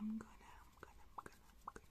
I'm gonna, I'm gonna, I'm gonna, I'm gonna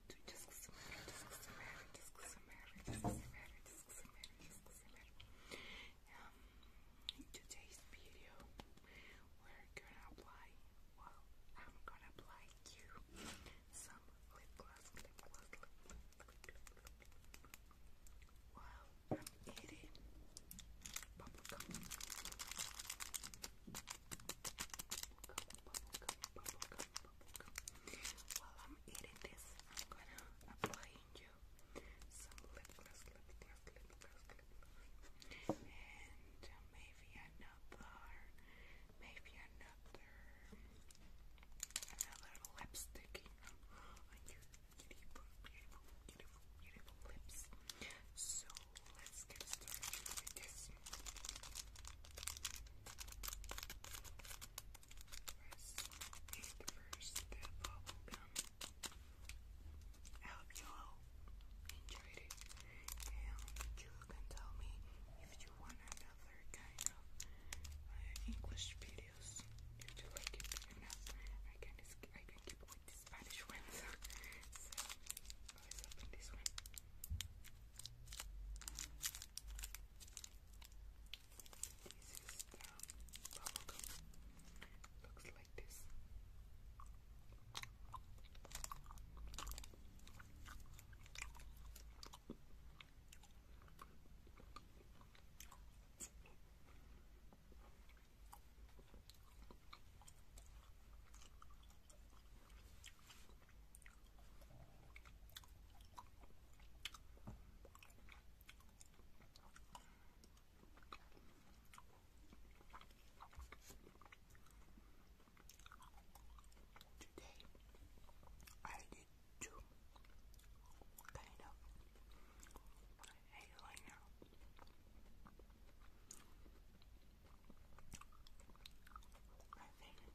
Um, in today's video, we're gonna apply, well, I'm gonna apply you some lip gloss, lip gloss, lip gloss, lip gloss. While I'm eating bubblegum. Bubblegum, bubblegum, bubblegum, book. While I'm eating this, I'm gonna apply you some lip gloss, lip gloss, lip gloss, lip gloss, and uh, maybe another, maybe another, another lipstick on your beautiful, beautiful, beautiful, beautiful lips. So let's get started with this this. I hope you all enjoyed it, and you can tell me if you want another kind of uh, English videos. If you like it enough, I can I can keep with the Spanish ones. Let's this is um, bubblegum. Looks like this. Today I did two kind of eyeliner. I think it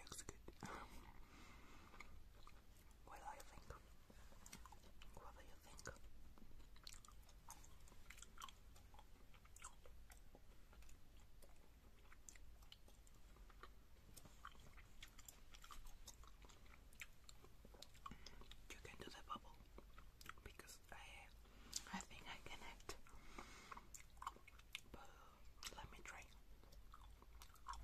looks good. what do you think? What do you think? You can do the bubble because I I think I can But let me try. I'm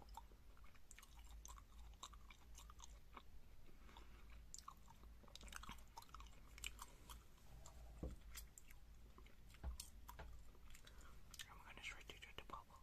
gonna try to the bubble.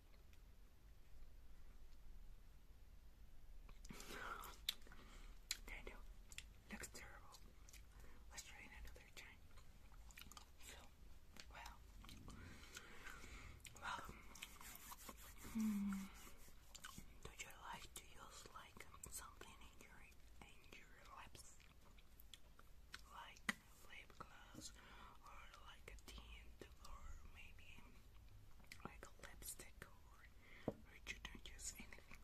Daniel, looks terrible. Let's try another time. well, well, hmm. do you like to use like something in your in your lips, like lip gloss or like a tint or maybe like a lipstick or, you don't use anything.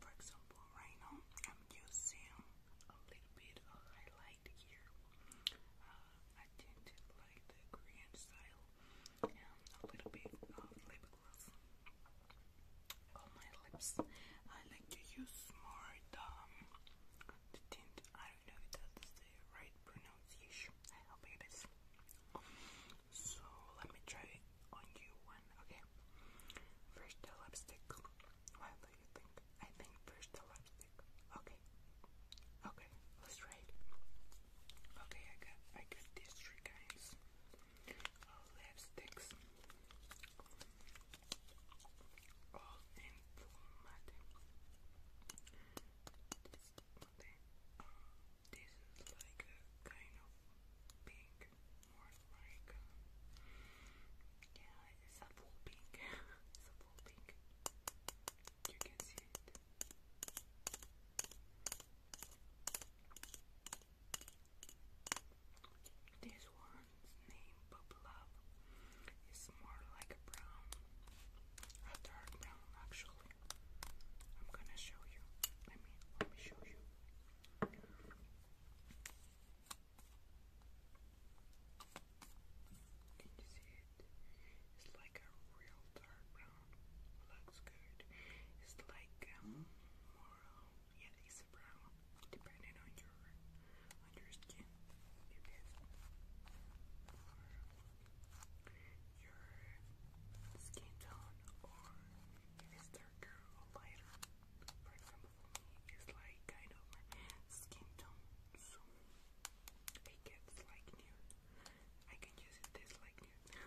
For example, right now I'm using a little bit of highlight here. Uh, I tinted like the Korean style and a little bit of lip gloss on my lips. I like to use more the um, tint. I don't know if that's right pronunciation. I hope it is. So let me try on you one, okay? First the lipstick. What do you think? I think first the lipstick. Okay. Okay, let's try it. Okay, I got I got these three kinds of lipsticks. All in full but this is like a kind of pink, more like, um, yeah, it's a full pink. it's a full pink. You can see This one's name Boop Love is more like a brown, a dark brown actually. I'm gonna show you. Let me let me show you. Can you see it? It's like a real dark brown. Looks good. It's like um, more, yeah, it's brown, depending on your on your skin, your skin tone, or if darker or lighter. For example, for me, it's like kind of my skin tone, so it gets like nude. I can use this like nude.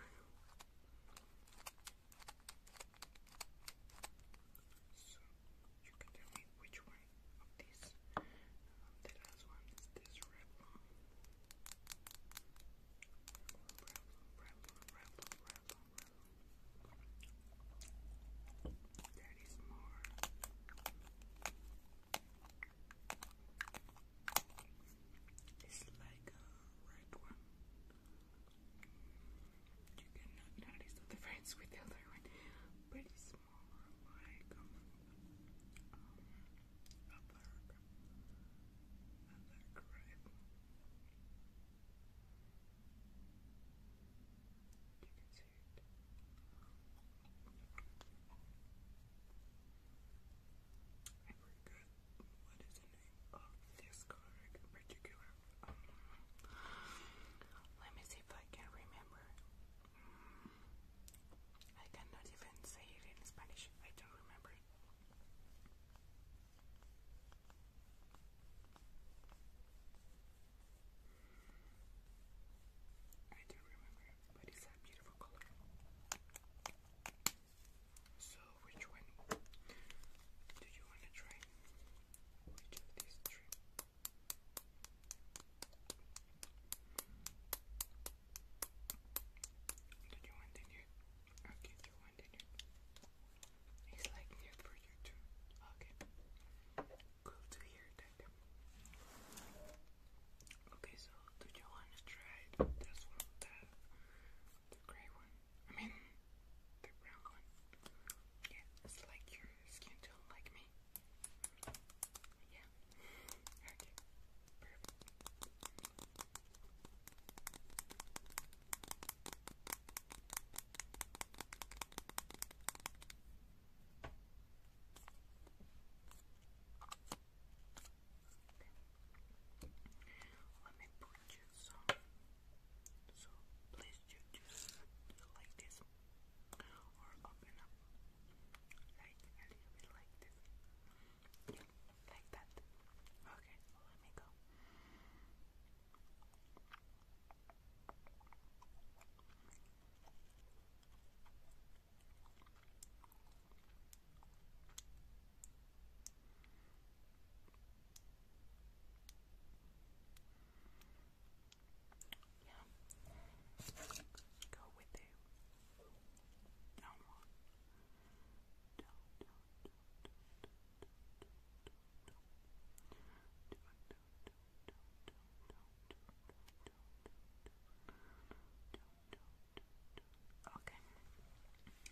you can tell me which one of these. Um, the last one is this Revlon. Revlon, That is more. It's like a red one you cannot notice the difference with the other one. Pretty smaller, like um, um a You can see it. I forgot what is the name of this color in particular, let me see if I can remember. I cannot even say it in Spanish. I don't remember. I do remember, but it's a beautiful color. So, which one do you want to try? which of these three? Do you want the nude? Okay, you want the nude. It's like nude for you too. Okay. Cool to hear that. Okay, so do you want to try this one, the, the gray one? I mean, the brown one. Yeah, it's like your skin tone, like me. Yeah. Okay. Perfect. Let me put you some so please just, just like this or open up like a little bit like this. like that. Okay, let me go. Yeah. Go with it. No more. Do, do, do, do, do, do, do, do. Do, do, do, do, do, do, do, do, do, do. Okay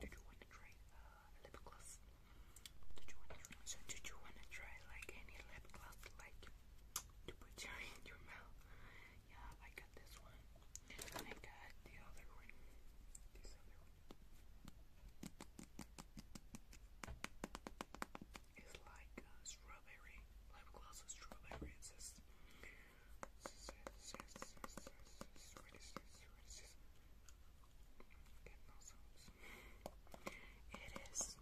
Did you want to try uh, lip gloss? Did you want to try? So did you want to try like any lip gloss like to put your in your mouth? Yeah, I got this one. And I got the other one. This other one. It's like a strawberry lip gloss. Strawberry. It's just it is.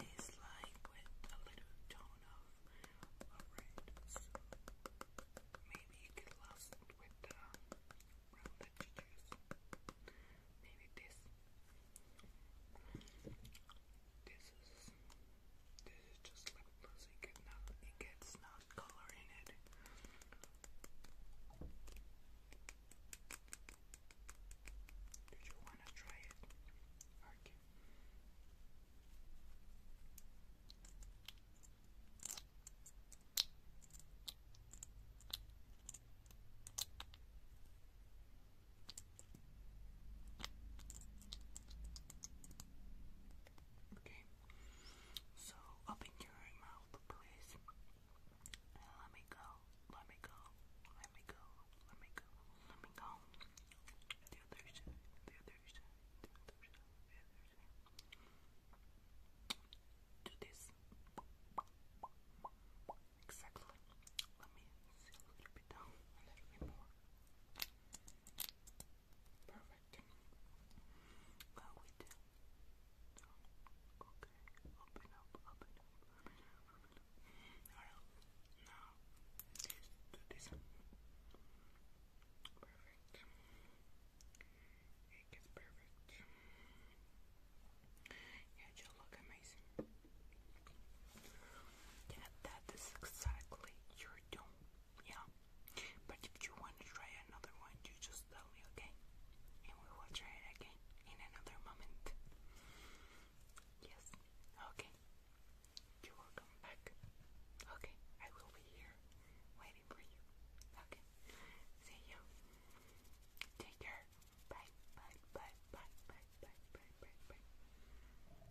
It's like with a little tone of a red, so maybe you could last with the brown that you choose. Maybe this. This is this is just lip gloss. It, get not, it gets not color in it. Did you want to try it? Okay. Okay. So open your mouth, please. let me go. Let me go. Let me go. Let me go. Let me go. The other The other The other The other Exactly. Let me see a Perfect. Go with it. Okay. Open up, open up, Alright. Now, do this. Perfect. It gets perfect. Yeah, you look amazing. Yeah, that is exactly your tone yeah. But if you want to try another one, you just tell me, okay? And we will try it again in another moment. Yes, okay. You will back. Okay, I will be here waiting for you. Okay, see you. Take care. Bye, bye, bye, bye, bye, bye, bye, bye, bye.